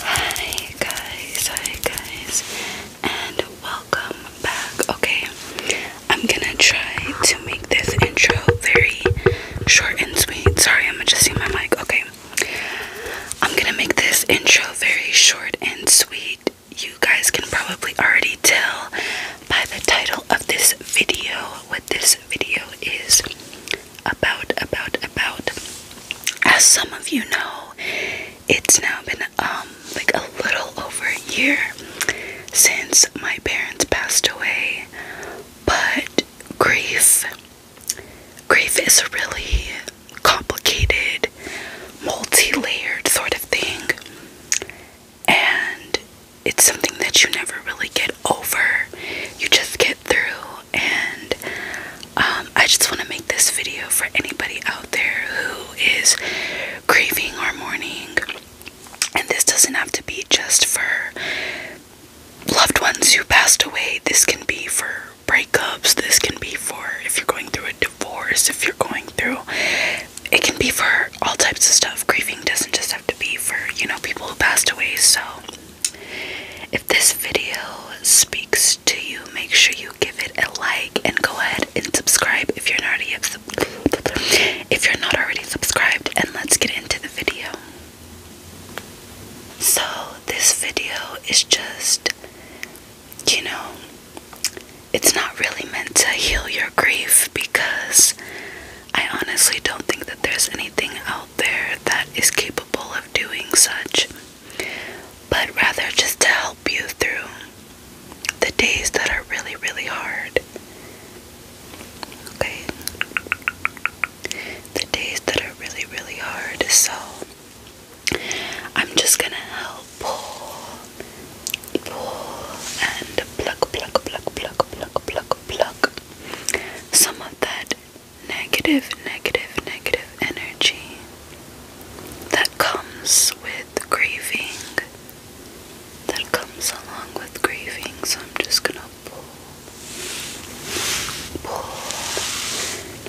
Hi guys, hi guys, and welcome back. Okay, I'm gonna try to make this intro very short and sweet. Sorry, I'm adjusting my mic. Okay, I'm gonna make this intro very short and sweet. You guys can probably already tell by the title of this video what this video is about, about, about. As some of you know, it's now been um like a little over a year since my parents passed away, but grief Grief is a really complicated, multi layered sort of thing, and it's something that you never really get over, you just get through. And um, I just want to make this video for anybody out there who is grieving or mourning. And this doesn't have to be just for loved ones who passed away. This can be for breakups, this can be for if you're going through a divorce, if you're going through it can be for all types of stuff. Grieving doesn't just have to be for, you know, people who passed away. So if this video speaks to you, make sure you give it a like and go ahead and subscribe if you're not already if you're not already subscribed and let's get into the video. So this video is just you know, it's not really meant to heal your grief because I honestly don't think that there's anything out there that is capable of doing such, but rather just to help you through the days that are really, really hard. Okay? The days that are really, really hard. So, I'm just gonna help pull, pull, and pluck, pluck, pluck, pluck, pluck, pluck, pluck some of that negative, negative, negative energy that comes with grieving. That comes along with grieving, so I'm just gonna pull, pull,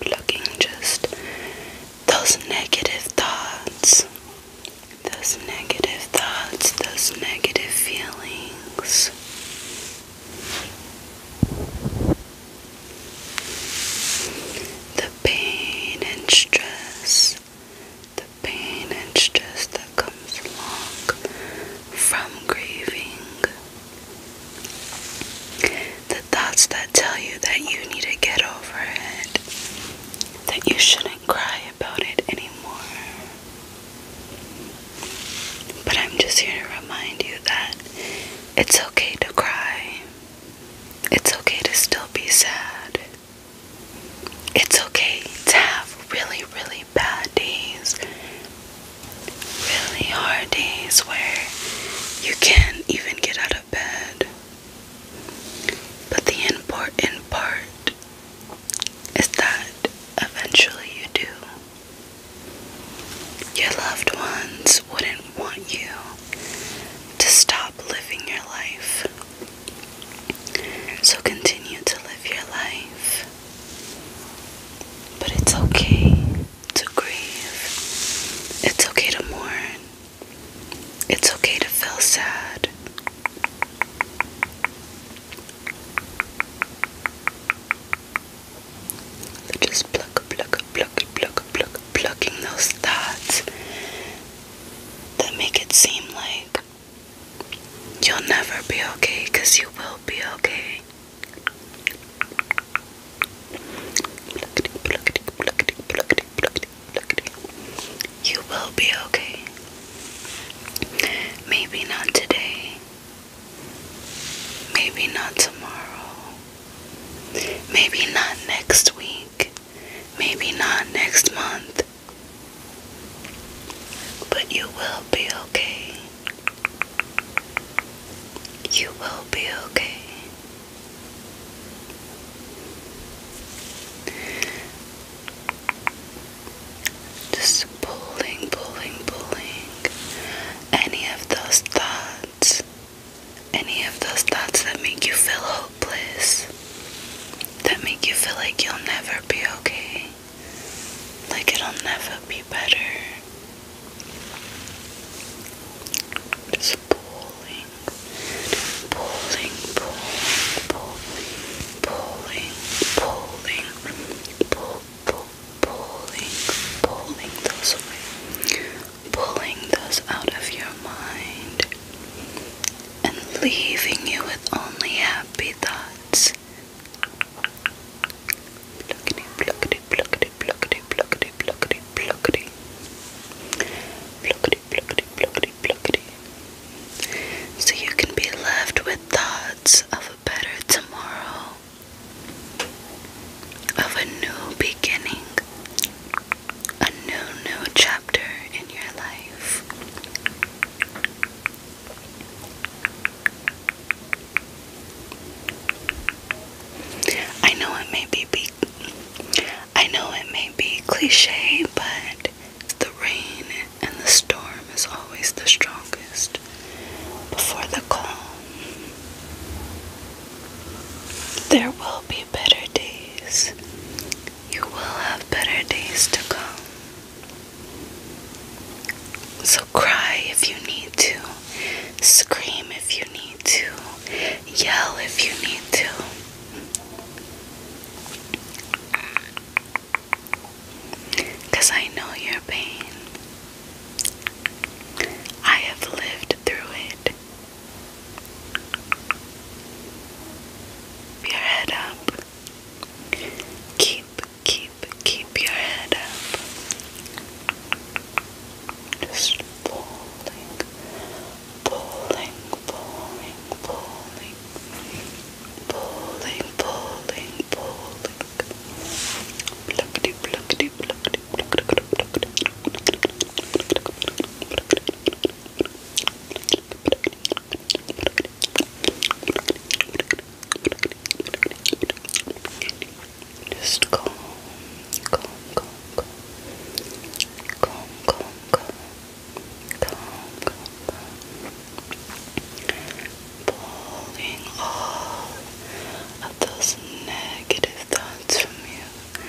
pluck, just those negative thoughts, those negative thoughts, those negative feelings. The pain and stress, the pain and stress that comes along from grieving, the thoughts that tell you that you need to get over it, that you shouldn't cry about it anymore. But I'm just here to remind you that it's okay to cry, it's okay to still be sad. It's okay to have really, really bad days, really hard days where you can't even get out of bed. But the important part is that eventually you do. Your loved ones wouldn't want you to stop living your life. So continue to live your life. But it's okay to grieve. It's okay to mourn. It's okay to feel sad. just pluck, pluck, pluck, pluck, pluck, plucking those thoughts that make it seem like you'll never be okay you will be okay. You will be okay. Maybe not today. Maybe not tomorrow. Maybe not next week. Maybe not next month. But you will be okay. You will be okay. Just pulling, pulling, pulling any of those thoughts, any of those thoughts that make you feel hopeless, that make you feel like you'll never be okay. Like it'll never be better. Just pulling, pulling, pulling, pulling, pulling, pulling, pull, pull, pulling, pulling those away, pulling those out of your mind, and leaving you with only happy thoughts it. Pluckety, pluckety, pluckety, pluckety, pluckety, pluckety, pluckety. Pluckety, pluckety, pluckety, pluckety. So you can be left with thoughts of a better tomorrow, of a new beginning, a new, new chapter in your life. I know it may be, I know it may be cliche, but the rain and the storm is always the strongest before the calm. There will be better days. You will have better days to come. So cry if you need to, scream if you need to, yell if you need to. Because I know your pain. I have lived through it. your head up. Keep keep keep your head up. Just pulling, pulling, pulling, pulling, pulling, pulling, pulling. Pluckity, pluckity, pluckity, pluckity, pluckity. Just calm, calm, calm, calm. Calm, calm, calm. all of those negative thoughts from you.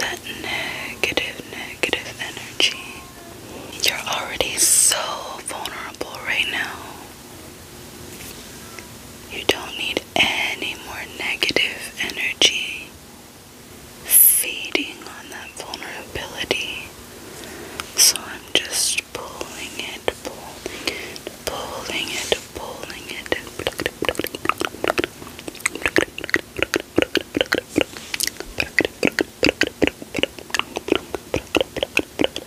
That negative, negative energy. You're already so vulnerable right now. You don't need any more negative energy feeding on that vulnerability. So I'm just pulling it, pulling pulling it, pulling it.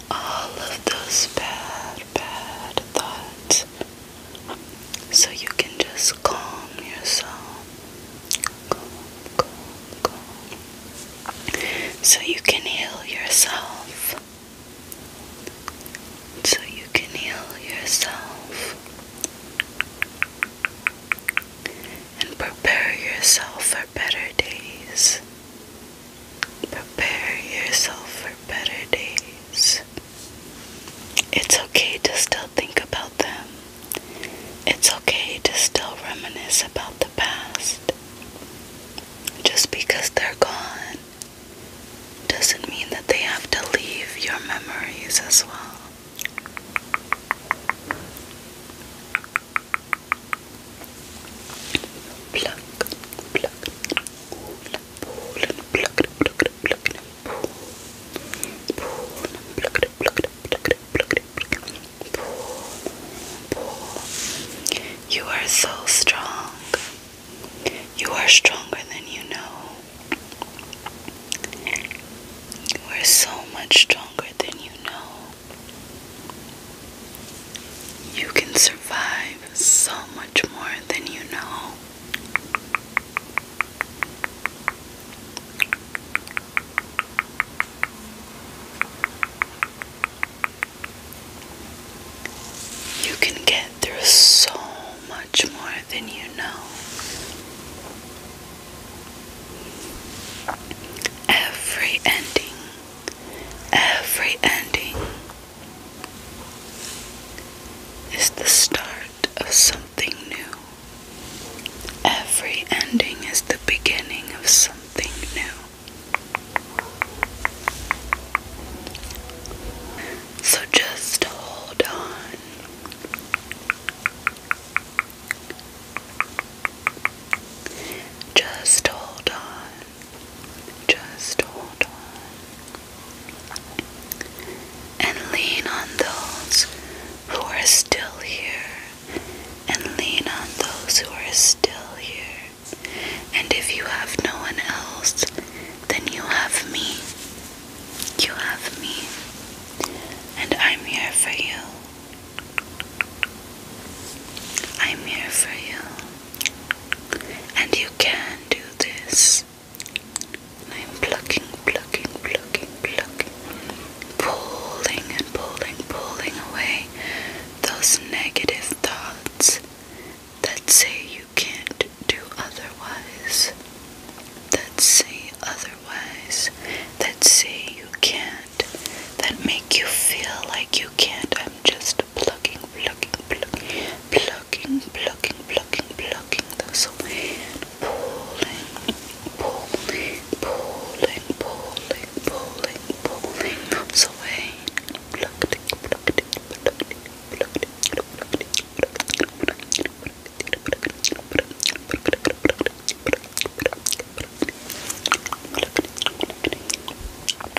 all of those bad, bad thoughts so you can just calm yourself. Calm, calm, calm. So you can heal yourself. So you can heal yourself. And prepare yourself for better days. Prepare yourself for better days. It's okay to still think about them. It's okay to still reminisce about the past. Just because they're gone doesn't mean that they have to leave your memories as well. Pluck, pluck, pluck, you are so strong. You are stronger than you know. You are so much stronger than you know. You can survive so much more than you know. You can get through so much more than you know. Every ending, every ending is the start of something new. Every ending is the beginning of something new. So just hold on. Just hold on. Just hold on and lean on those who are still here, and lean on those who are still here. And if you have no one else, then you have me. You have me, and I'm here for you. I'm here for you. And you can do this. I'm plucking, plucking, plucking, plucking, pulling and pulling, pulling away those negative thoughts that say you can't do otherwise, that say otherwise, that say you can't, that make you feel like you can't. I'm just just plucking, plucking, plucking, plucking, plucking, plucking, plucking those away and pulling, pulling, pulling, pulling, pulling, pulling those away. Plucking, plucking, plucking, plucking, plucking, plucking, plucking, plucking, plucking,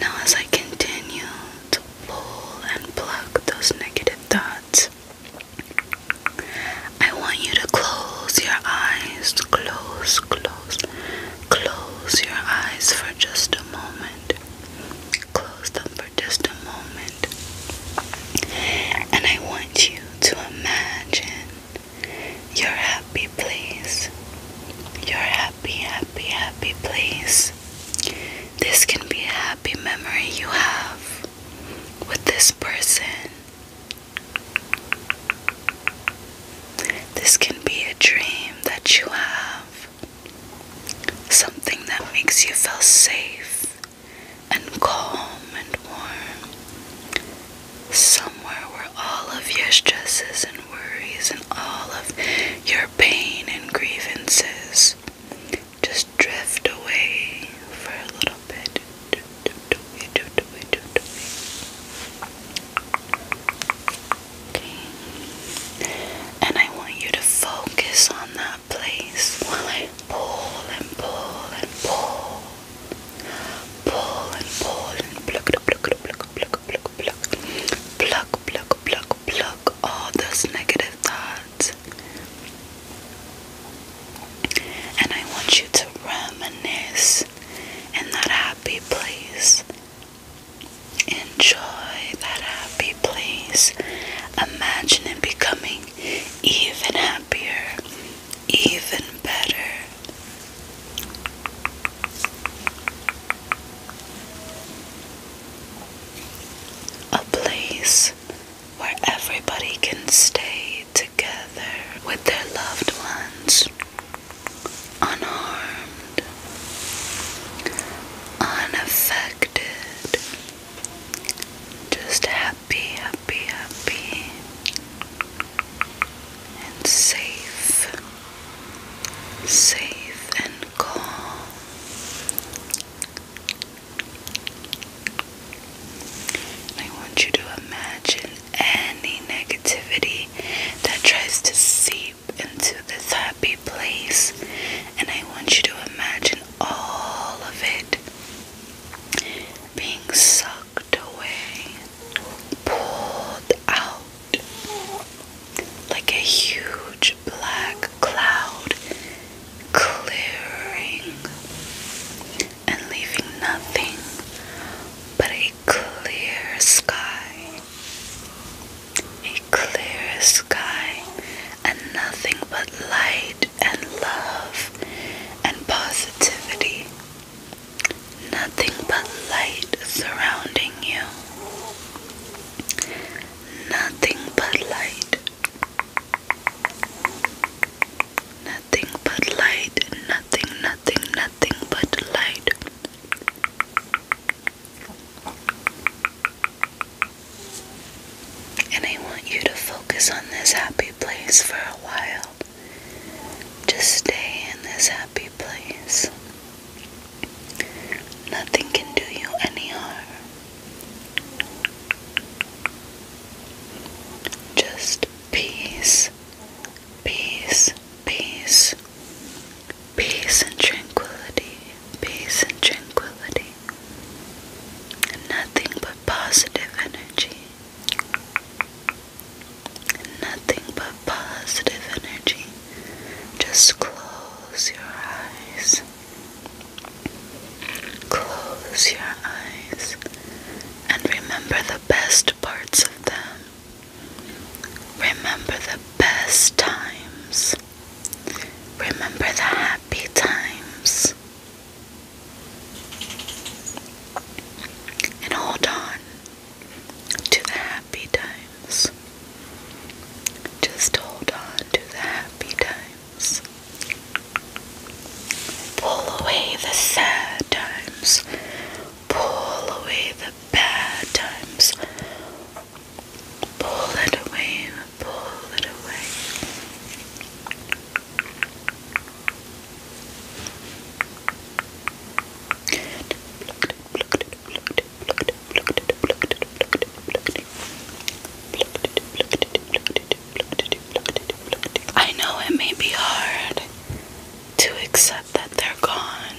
Now, as I continue to pull and pluck those negative thoughts, I want you to close your eyes, close, close, close your eyes for just a moment. Close them for just a moment. And I want you to imagine you're happy, please. You're happy, happy, happy, please. This can be a happy memory you have with this person. This can be a dream that you have, something that makes you feel safe and calm and warm. Somewhere where all of your stresses and worries and all of your pain and grievances just drift away for a little bit. And I want you to focus on that place while I pull and pull and pull. Pull and pull and pluck, pluck, pluck, pluck, pluck, pluck, pluck, pluck, pluck, pluck, pluck all those negative thoughts. And I want you to reminisce in that happy place. Enjoy that happy place. Imagine it becoming even happier, even better, a place where everybody can stay together with their loved ones, unharmed, unaffected, just happy, happy, happy and safe, safe and calm. I want you to imagine any negativity that tries to seep into this happy place, and I want you to imagine all of it being sucked tucked away, pulled out like a huge black cloud, clearing and leaving nothing but a clear sky. A clear sky and nothing but light and love and positivity. Nothing but light surrounding you. Nothing but light. Nothing but light. Nothing, nothing, nothing but light. And I want you to focus on this happy place for a while. Just stay in this happy place. Nothing can do you any harm. Just peace, peace, peace, peace and tranquility, peace and tranquility, and nothing but positive energy. Nothing but positive energy. Just close your eyes. Close your eyes and remember the best parts of them. Remember the best times. Remember the happy times. And hold on to the happy times. Just hold on to the happy times. Pull away the sad times. Pull away the bad times. Pull it away, pull it away. I know it may be hard to accept that they're gone.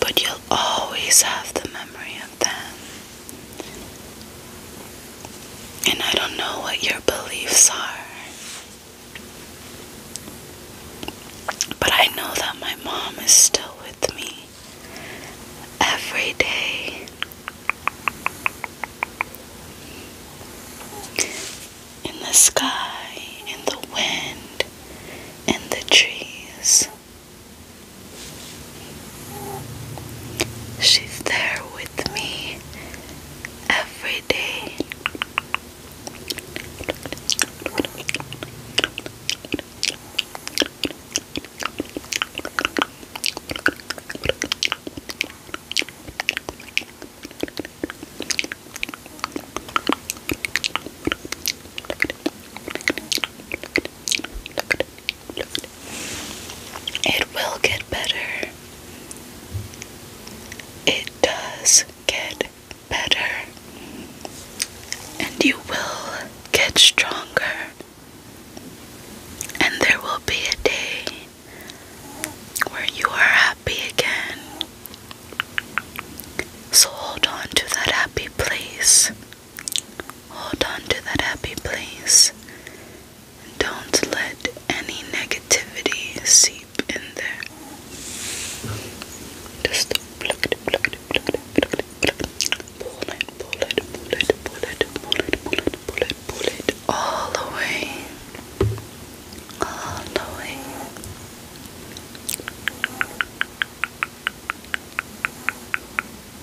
But you'll always have the memory of them. And I don't know what your beliefs are. But I know that my mom is still with me every day. In the sky, in the wind, in the trees. She's there with me every day it, will get better. It does get better. And you will get stronger. And there will be a day where you are happy again. So hold on to that happy place. Hold on to that happy place. Don't let any negativity seep in there. Just pluck it, pluck it, pluck it, pluck it, pluck it. Pull it, pull it, pull it, all away. All